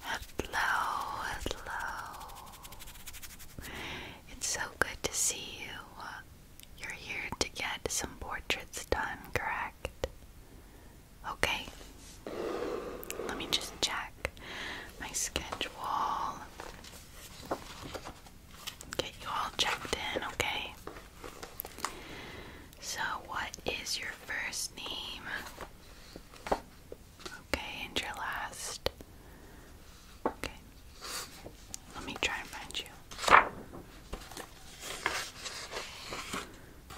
Hello, hello. It's so good to see you. You're here to get some portraits done, correct? Okay. Let me just check my schedule get you all checked in, okay? So, what is your first name? Okay, and your last. Okay. Let me try and find you.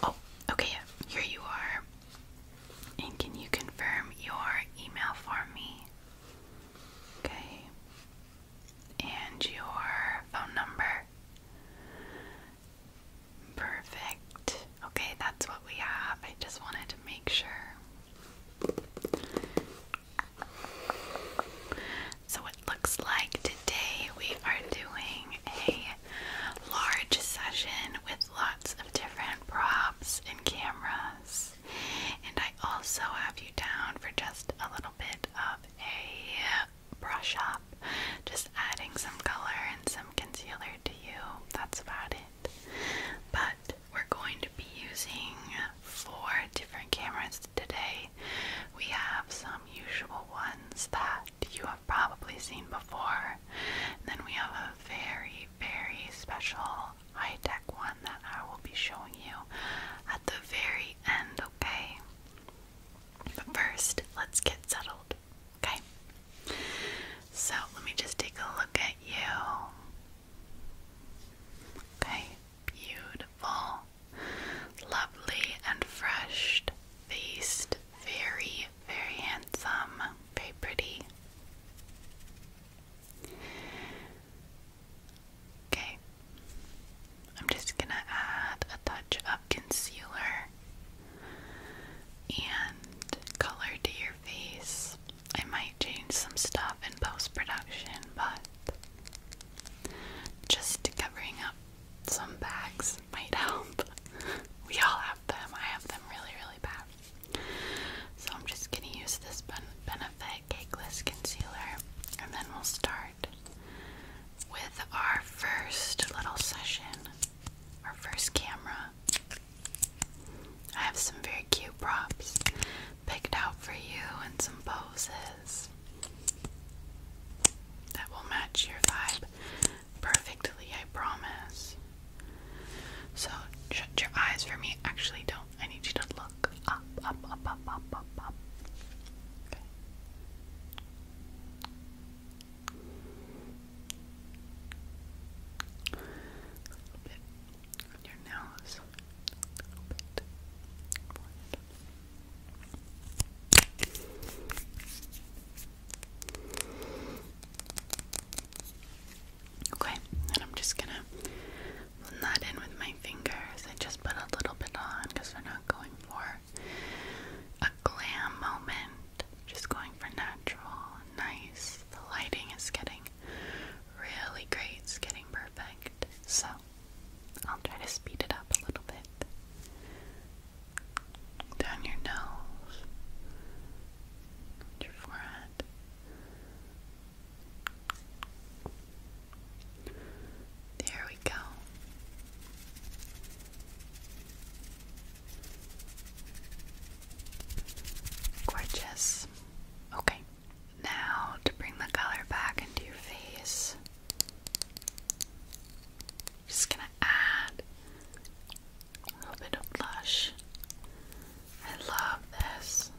Oh, okay, here you are. And can you confirm your email for me? Okay and your phone number. Perfect. Okay, that's what we have. I just wanted to make sure. So it looks like today we are doing a large session with lots of different props and cameras. And I also have you down for just a little bit of a brush up, just adding some color and some concealer to you. That's about it. But we're going to be using four different cameras today. We have some usual ones that you have probably seen before. then we have a very, very special high tech one that I will be showing you at the very end, okay? But first, let's get settled, okay? So, let me just take a look at you. Okay, beautiful, lovely, and fresh faced, very, very handsome, very pretty. Okay, I'm just gonna add a touch of concealer and color to your face. I might change some stuff in post production, but just covering up some bags might help. We all have them, I have them really, really bad. So I'm just gonna use this pen Benefit Cakeless Concealer, and then we'll start with our first little session, our first camera. I have some very cute props picked out for you and some poses that will match your vibe perfectly, I promise. So, shut your eyes for me. Actually, don't now. I need you to look up, up, up, up, up, up, up. Okay. A little bit on your nose. A little bit. Okay, and I'm just gonna I'm not in with my fingers. I just put a little bit on because we're not going for a glam moment. Just going for natural, nice. The lighting is getting really great. It's getting perfect. So I'll try to speed it up a little bit. Down your nose, your forehead, there we go. Gorgeous. Okay. Now, to bring the color back into your face, just gonna add a little bit of blush. I love this.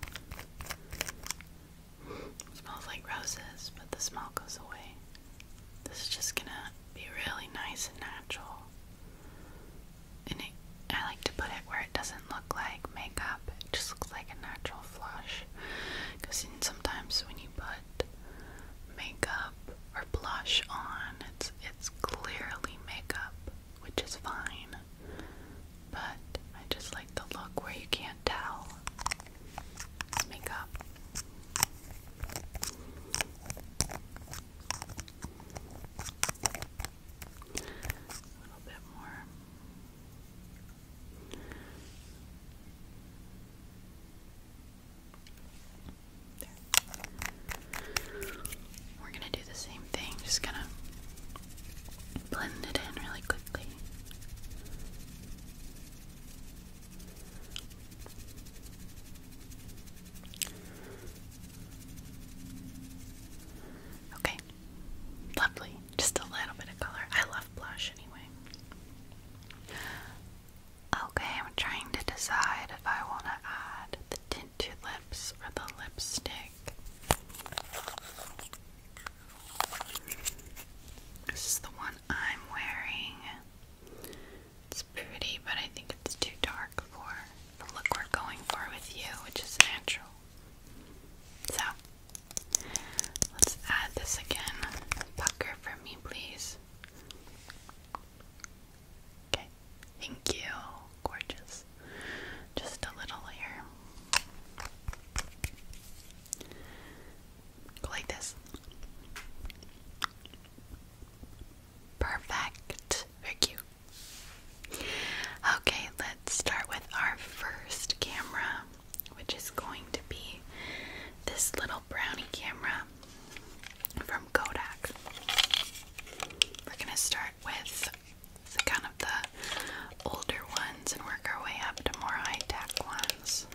It smells like roses, but the smell goes away. This is just gonna be really nice and natural. And it, I like to put it where it doesn't look like makeup, it just looks like a natural flush. Because sometimes when you put makeup or blush on, it's, it's clearly makeup, which is fine but I just like the look where you can't tell makeup. A little bit more. There. We're going to do the same thing, just going to blend it in really quickly. Okay, lovely. Just a little bit of color. I love blush anyway. Okay, I'm trying to decide if I want to add the tinted lips or the lipstick. This is the one I'm wearing. It's pretty, but I think it's too dark for the look we're going for with you, which is natural. So, let's add this again. Pucker for me, please. Okay, thank you. Gorgeous just a little here. Go like this. Perfect. Very cute. Okay, let's start with our first camera, which is going to be this little brownie camera from Kodak. We're going to start with the kind of the older ones and work our way up to more high-tech ones.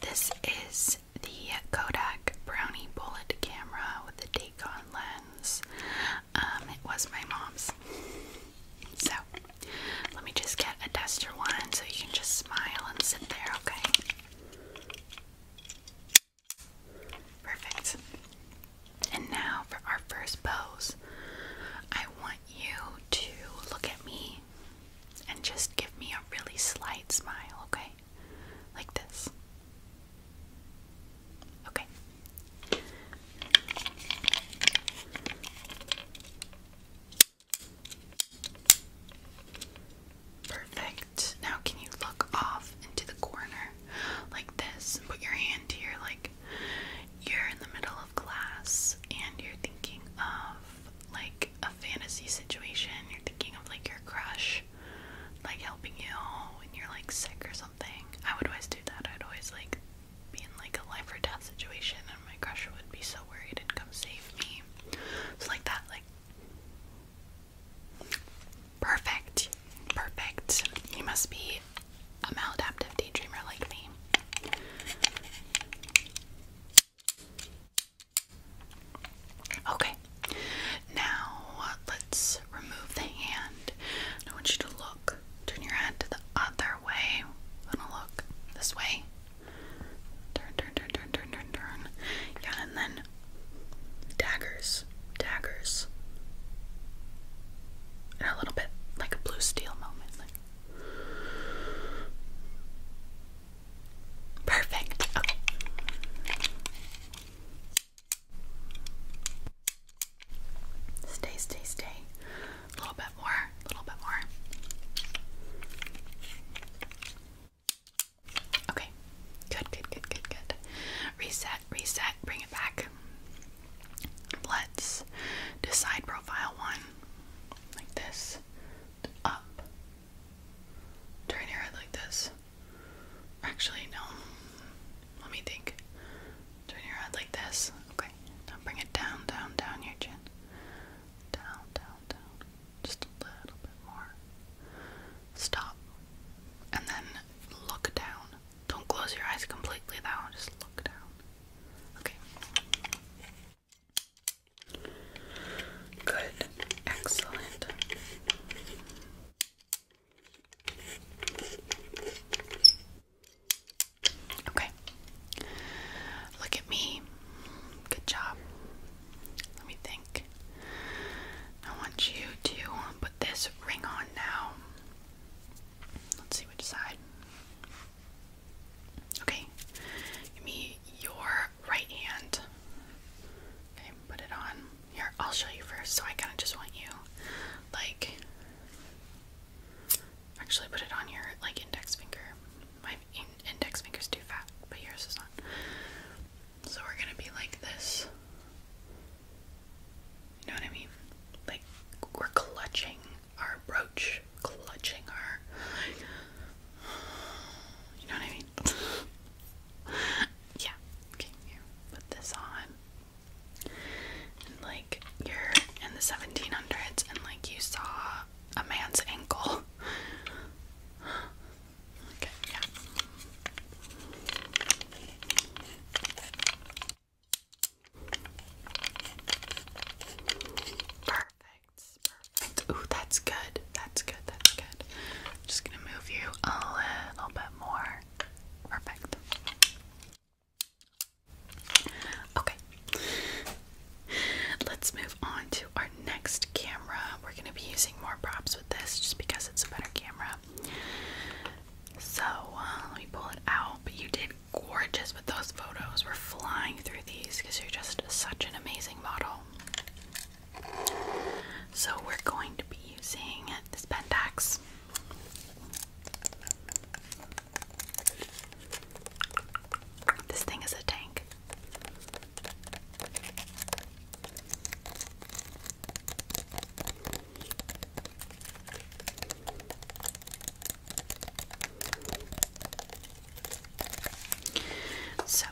This is the Kodak Brownie Bullet camera with the Dacon lens. Um, it was my mom's. So, let me just get a duster one so you can just smile and sit there, okay? Perfect. And now for our first pose, I want you to look at me and just give me a really slight smile, okay? Like this. Okay. Perfect. Now, can you look off into the corner like this put your hand to like you're in the middle of class and you're thinking of like a fantasy situation, you're thinking of like your crush like helping you when you're like sick or something. I would always do that. I'd always like be in like a life or death situation and my crush would be so worried and come save me. So like that like Perfect. Perfect. You must be a maladaptive daydreamer like me. Okay. Now let's remove the hand. I want you to look. Turn your head to the other way. I'm gonna look this way. Turn, turn, turn, turn, turn, turn, turn. Yeah, and then daggers. Daggers. And a little bit like a blue steel moment. Perfect. Stay, stay, stay. A little bit more. A little bit more. Okay. Good, good, good, good, good. Reset, reset, bring it back. Let's decide profile one. Like this. Up. Turn your head like this. Actually, no. Let me think. Turn your head like this. Okay. Now bring it down, down, down your chin. Down, down, down just a little bit more. Stop. And then look down. Don't close your eyes completely though, just look down. Okay. Good. Excellent. Okay. Look at me. Good job. Let me think. I want you to put this ring on now. Let's see which side. Okay. Give me your right hand. Okay, put it on. Here, I'll show you first. So I kind of just want you, like, actually put it on your, like, index finger. My index finger's too fat, but yours is not. So we're gonna be like this. You know what I mean? Like we're clutching our brooch, clutching our. You know what I mean? yeah. Okay, Put this on. like you're in the 1700s, and like you saw a man's ankle. Perfect, Ooh, that's good. That's good. That's good. just gonna move you a little bit more. Perfect. Okay. Let's move on to our next camera. We're going to be using more props with this just because it's a better camera. So uh, let me pull it out. you did gorgeous with those photos. We're flying through these because you're just such an amazing model. So we're going to be using this Pentax. This thing is a tank. So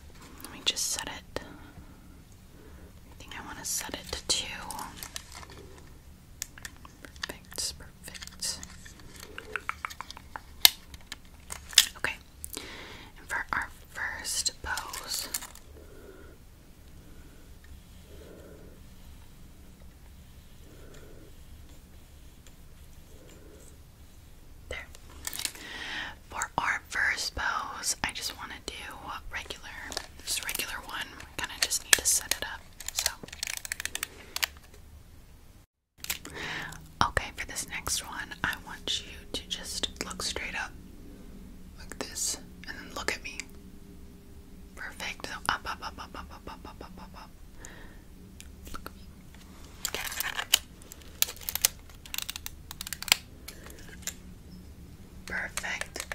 let me just set it. I think I want to set it to two. Perfect, perfect. Okay for our first pose, there. For our first pose, I just want to do regular, just regular one. kind of just need to set it up. So. Okay, for this next one, I want you to just look straight up like this and then look at me. Perfect. So Look at me. Perfect.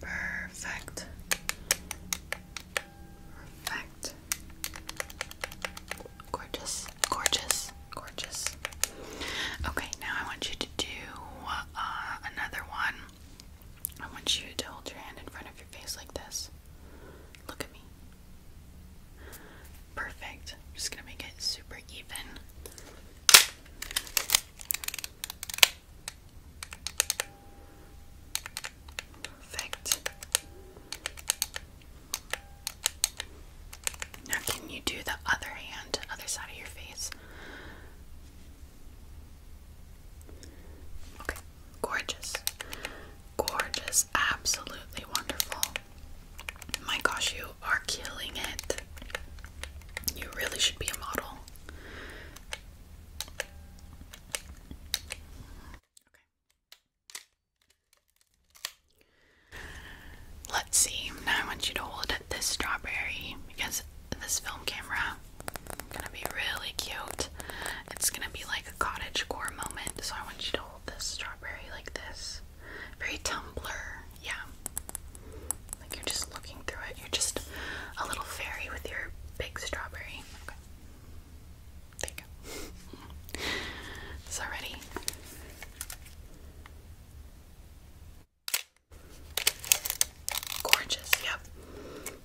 Perfect. Perfect. Gorgeous, gorgeous, gorgeous. Okay, now I want you to do uh, another one. I want you to hold your hand in front of your face like this. Look at me. Perfect. just gonna make it super even. Perfect. Now, can you do the other hand, other side of your face? Okay, gorgeous. Gorgeous, absolutely wonderful. My gosh, you are killing it. You really should be a model. Okay. Let's see. Now I want you to hold this strawberry because this film camera is gonna be really cute. It's gonna be like a cottage core moment. So I want you to hold this strawberry like this. Very tumbler, yeah. Like you're just looking through it. You're just a little fairy with your big strawberry. There you go. so ready. Gorgeous, yep.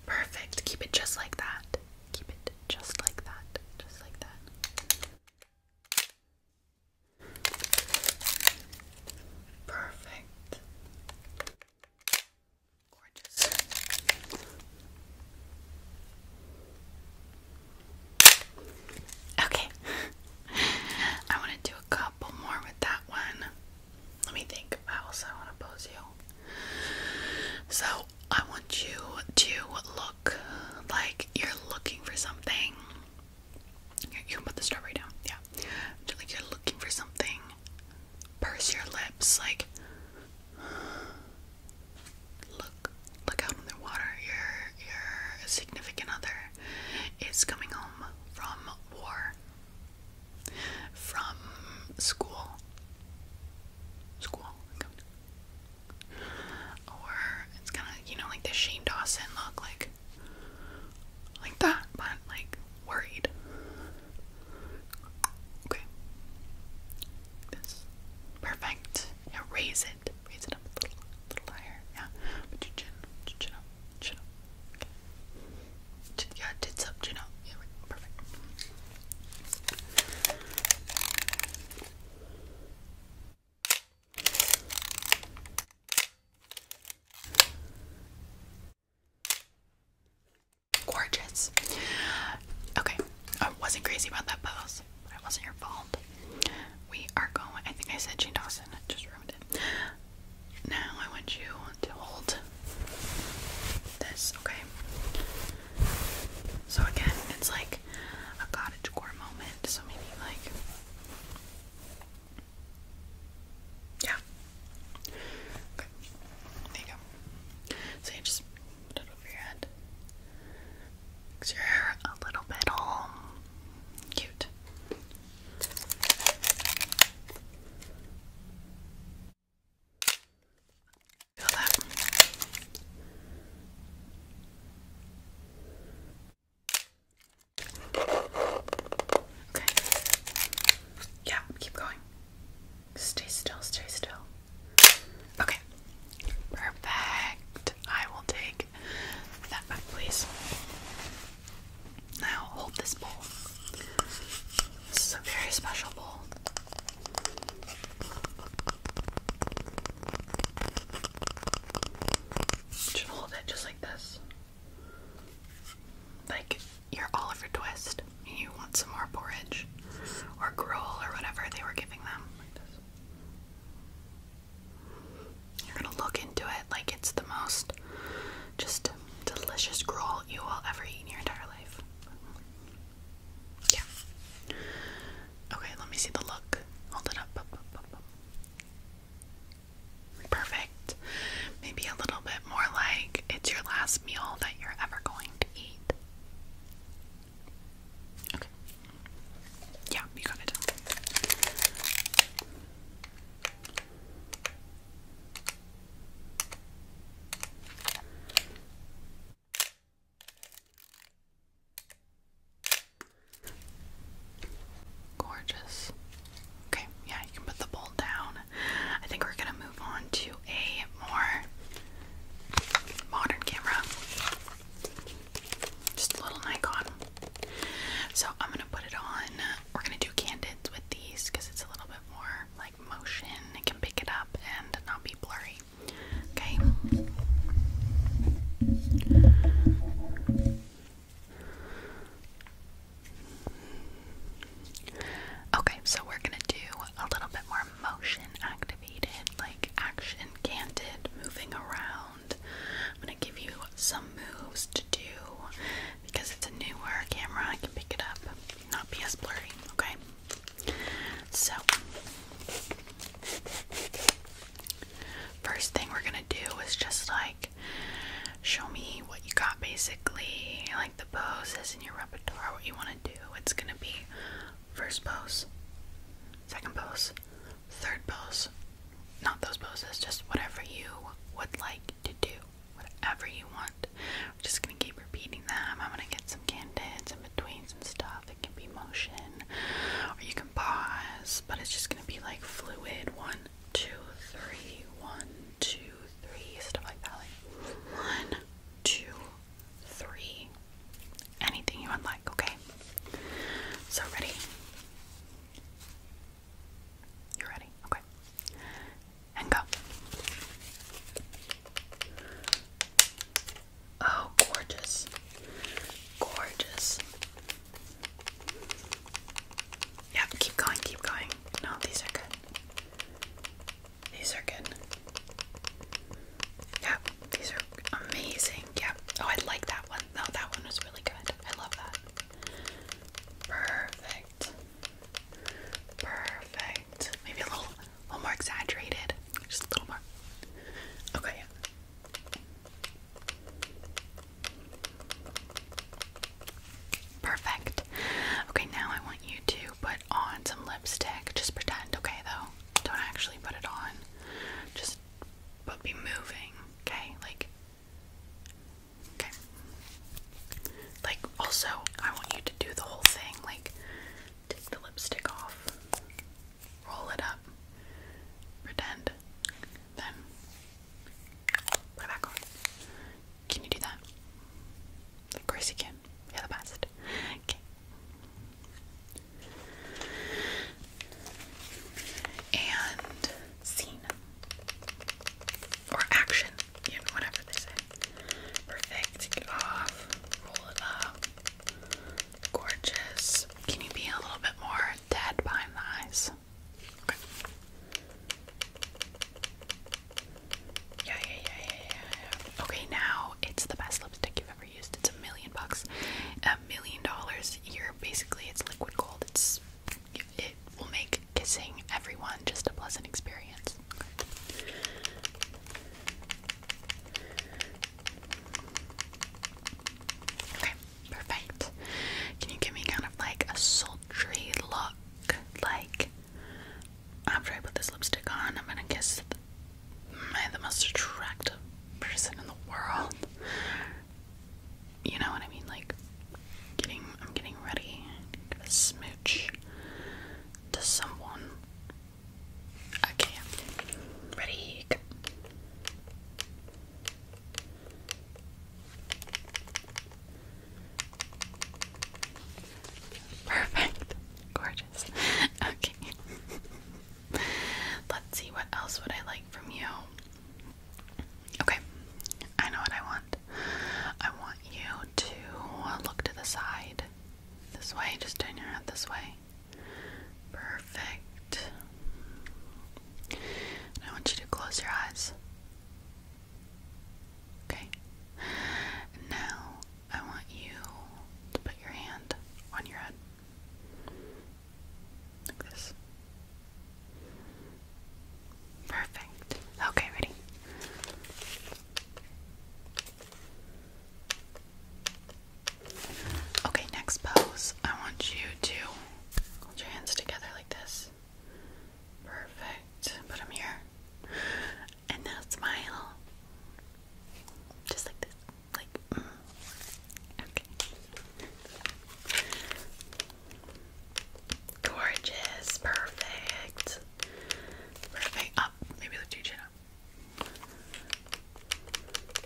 Perfect. Keep it just like that. Keep it just like that. Just like that. Perfect. Gorgeous. Okay. I want to do a couple more with that one. Let me think how I want to pose you. So, I want you to look like you're looking for something. You can put the strawberry down, yeah. Like you're looking for something. Purse your lips, like look look out in the water. Your your significant other is coming home from war, from school, school, or it's kind of you know like the Shane Dawson look, like like that, but like worried. Okay. This. Perfect. Now raise it. Raise it up a little, a higher. Yeah. chin, up, chin up. Okay. Chin, yeah, up, chin up. Yeah, perfect gorgeous. Okay, I wasn't crazy about that pose. It wasn't your fault. We are going. I think I said Shane Dawson. I Just ruined it. Now I want you to hold this. Okay. So again, it's like a cottage core moment. So maybe like. Yeah. Okay. There you go. So you just Put it over your head. Makes your hair a little bit all cute. Feel that. Okay. Yeah, keep going. Stay still, stay still. Okay, perfect. I will take that back, please. Now hold this bowl. This is a very special bowl. Just hold it just like this. Like your Oliver Twist you want some more porridge or gruel or whatever they were giving them. You're gonna look into it like it's the most just delicious gruel you will ever eat in your entire life. Yeah. Okay, let me see the look. Hold it up. up, up, up, up. Perfect. Maybe a little bit more like it's your last meal that you're ever going to eat. Okay. Yeah, you got it. Gorgeous. Okay, yeah, you can put the bowl down. I think we're gonna move on to a more modern camera. Just a little Nikon. So I'm gonna put it on. We're gonna do candid with these because it's a little bit more like motion. It can pick it up and not be blurry. Okay. Okay, so we're gonna do a little bit more motion activated, like action canted, moving around. I'm gonna give you some moves to do because it's a newer camera, I can pick it up, not be as blurry, okay? So, first thing we're gonna do is just like show me what you got basically, like the poses in your repertoire, what you want to want do. It's going to be first pose, second pose, third pose. Not those poses, just whatever you would like to do, whatever you want. I'm just going to keep repeating them. I'm going to get some candids and betweens and stuff. It can be motion, or you can pause, but it's just going to be like fluid one, two, three, one, two, three, stuff like that. one, two, three. Anything you would like, okay? So, ready? you ready? Okay. And go. Oh, gorgeous. Gorgeous. Yep, keep going, keep going. No, these are good. These are good. Yeah, these are amazing. Yeah. Oh, I like that one. No, that one was really good. I love that. Perfect. Perfect. Maybe a little, a little more exaggerated. Just a little more. Okay. Perfect. Okay, now I want you to put on some lipstick. Just pretend, okay, though. Don't actually put it on. Just but be moving, okay? Like okay. Like also, I want you to do the whole thing. Like take the lipstick off. Roll it up. Pretend. Then put back on. Can you do that? Of course you can. You're the best. Okay. And scene. Or action. whatever they say. Perfect. Take it off. Roll it up. Gorgeous. Can you be a little bit more dead behind the eyes? Yeah, yeah, yeah, yeah, yeah. Okay, now it's the best lipstick you've ever used. It's a million bucks, a million dollars. You're basically it's liquid gold. It's it will make kissing everyone just a pleasant experience. Okay. perfect. Can you give me kind of like a sultry look, like after I put this lipstick on, I'm gonna kiss my the most attractive person in the world. You know what I mean? Like getting I'm getting ready to smooch to someone. Okay. Ready? Go. Perfect. Gorgeous. Okay. Let's see what else would I like from you. Okay. I know what I want. I want you to look to the side. This way, just turn your head this way. Perfect. I want you to close your eyes. Okay? Now, I want you to put your hand on your head. Like this. Perfect. Okay, ready? Okay, next pose. I want you to hold your hands together like this. Perfect. Put them here and now smile. Just like this. Like, mm. okay. Gorgeous. Perfect. Perfect. Up. Oh, maybe lift your chin up.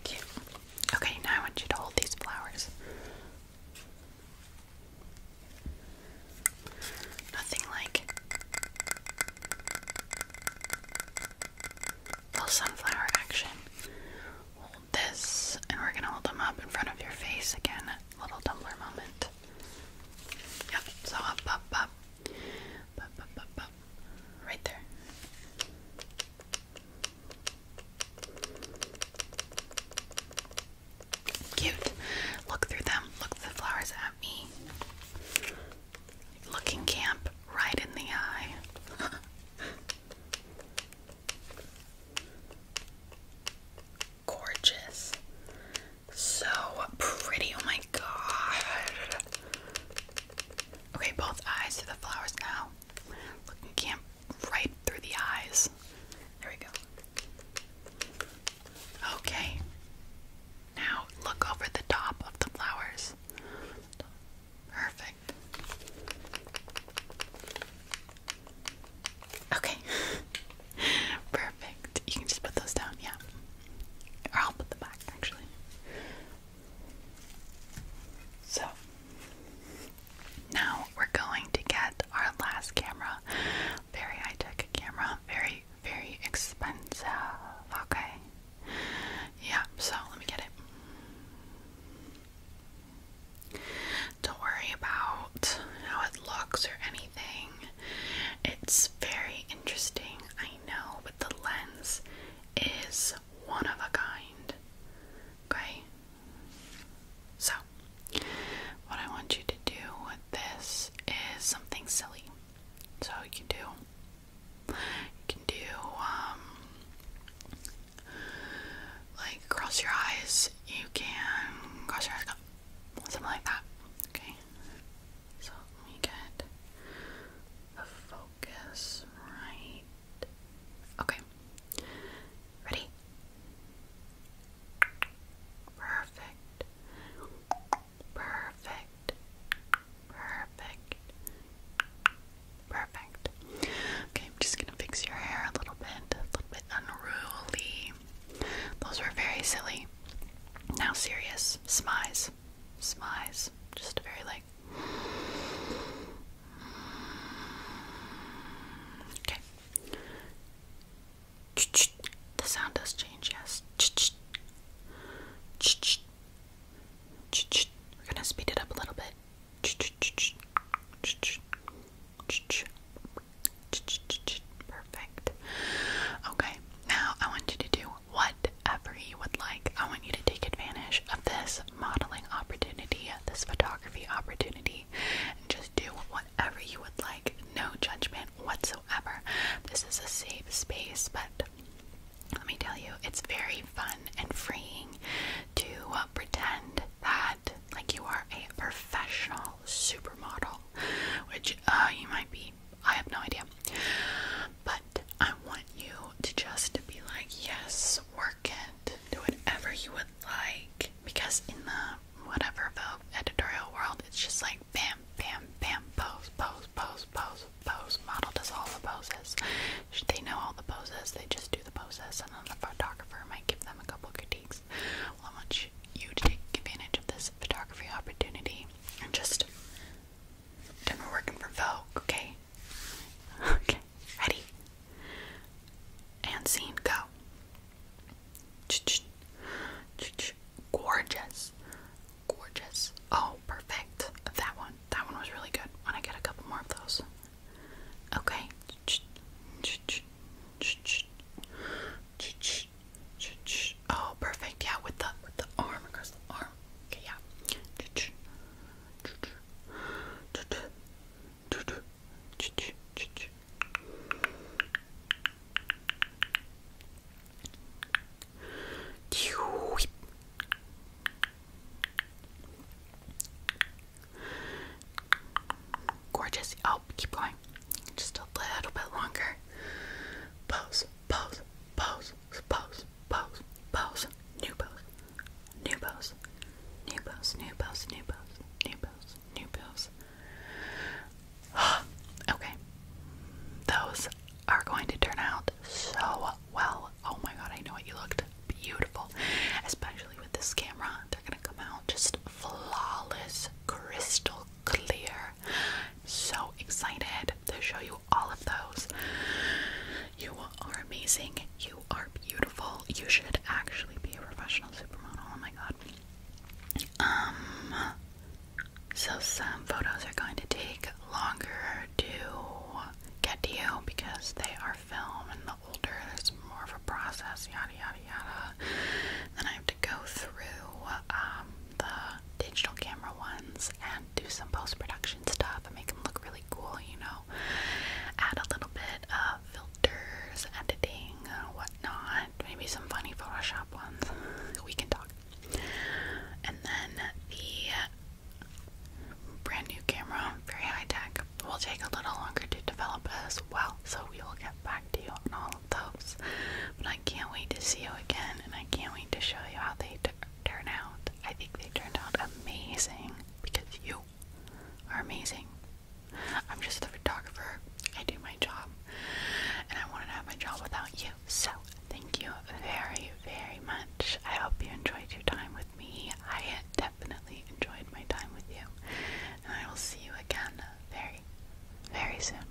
Cute. Okay, now I want you to hold these flowers. Nothing like full sunflower action. Hold this, and we're gonna hold them up in front of your face again. Little tumbler moment. Yep, so up, up, up. Up, up, up, up. Right there. Cute. Look through them. Look the flowers at me. Looking camp right in the eye. Gorgeous. So pretty. Oh my god. Okay, both eyes to the flowers now. Looking camp right through the eyes. There we go. Okay. Now look over the top of the flowers. Perfect. Okay. Perfect. You can just put those down, yeah. Or I'll put them back, actually. So, now we're going to get our last camera, very high tech camera very, very expensive. Okay. Yeah, so let me get it. Don't worry about how it looks or anything. It's very interesting, I know, but the lens is one of a kind. Okay? So, what I want you to do with this is something silly. So you can do, you can do, um, like cross your eyes. You can cross your eyes, something like that. Okay. So let get the focus right. Okay. Ready? Perfect. Perfect. Perfect. Perfect. Okay, I'm just gonna fix your hair a little bit, a little bit unruly. Those were very silly. Now serious. Smize. Smize. Just very like Okay. The sound does change, yes. We're gonna speed it up a little bit. Perfect. Okay, now I want you to do whatever you would like. I want you to take advantage of this modeling opportunity, this photography opportunity, and just do what whatever you would like, no judgment whatsoever. This is a safe space, but let me tell you, it's very fun and freeing to uh, pretend that like you are a professional supermodel, which uh, you might be. I have no idea. But I want you to just be like, yes, work it, do whatever you would like. Because in the whatever Vogue editorial world, it's just like bam, bam, bam, pose, pose, pose, pose, pose. Model does all the poses. They know all the poses. They just do the poses, and then the photographer might give them a couple critiques. Well, I want you to take advantage of this photography opportunity and just. Then we're working for Vogue, okay? Okay, ready? And scene, go. Gorgeous. Gorgeous. Oh, perfect. That one. That one was really good. When I get a couple more of those. Okay. Oh, perfect. Yeah, with the with the arm across the arm. Okay, yeah. Ch -ch -ch -ch. Gorgeous. Oh, keep going. Just a little bit longer. Pose, pose, pose, pose, pose, pose. New pose. New pose. New pose. New pose. New pose. New pose. New pose. New pose. okay. Those are going to turn out so well. Oh my god, I know what You looked beautiful. Especially with this camera. They're gonna come out just flawless, crystal clear. So excited to show you all of those. You are amazing. You are beautiful. You should actually be a professional supermodel. Oh my god. Um, so some photos are going to take longer to get to you because they are film and the older there's more of a process, yada yada yada. Then I have to go through um, the digital camera ones and do some post production stuff and make them look really cool, you know. Add a little bit of filter editing, whatnot. Maybe some funny Photoshop ones. We can talk. And then the brand new camera, very high tech, will take a little longer to develop as well. So we will get back to you on all of those. But I can't wait to see you again, and I can't wait to show you how they turn out. I think they turned out amazing because you are amazing. I'm just a photographer. I do my job, and I would to have my job without you. So, thank you very, very much. I hope you enjoyed your time with me. I definitely enjoyed my time with you, and I will see you again very, very soon.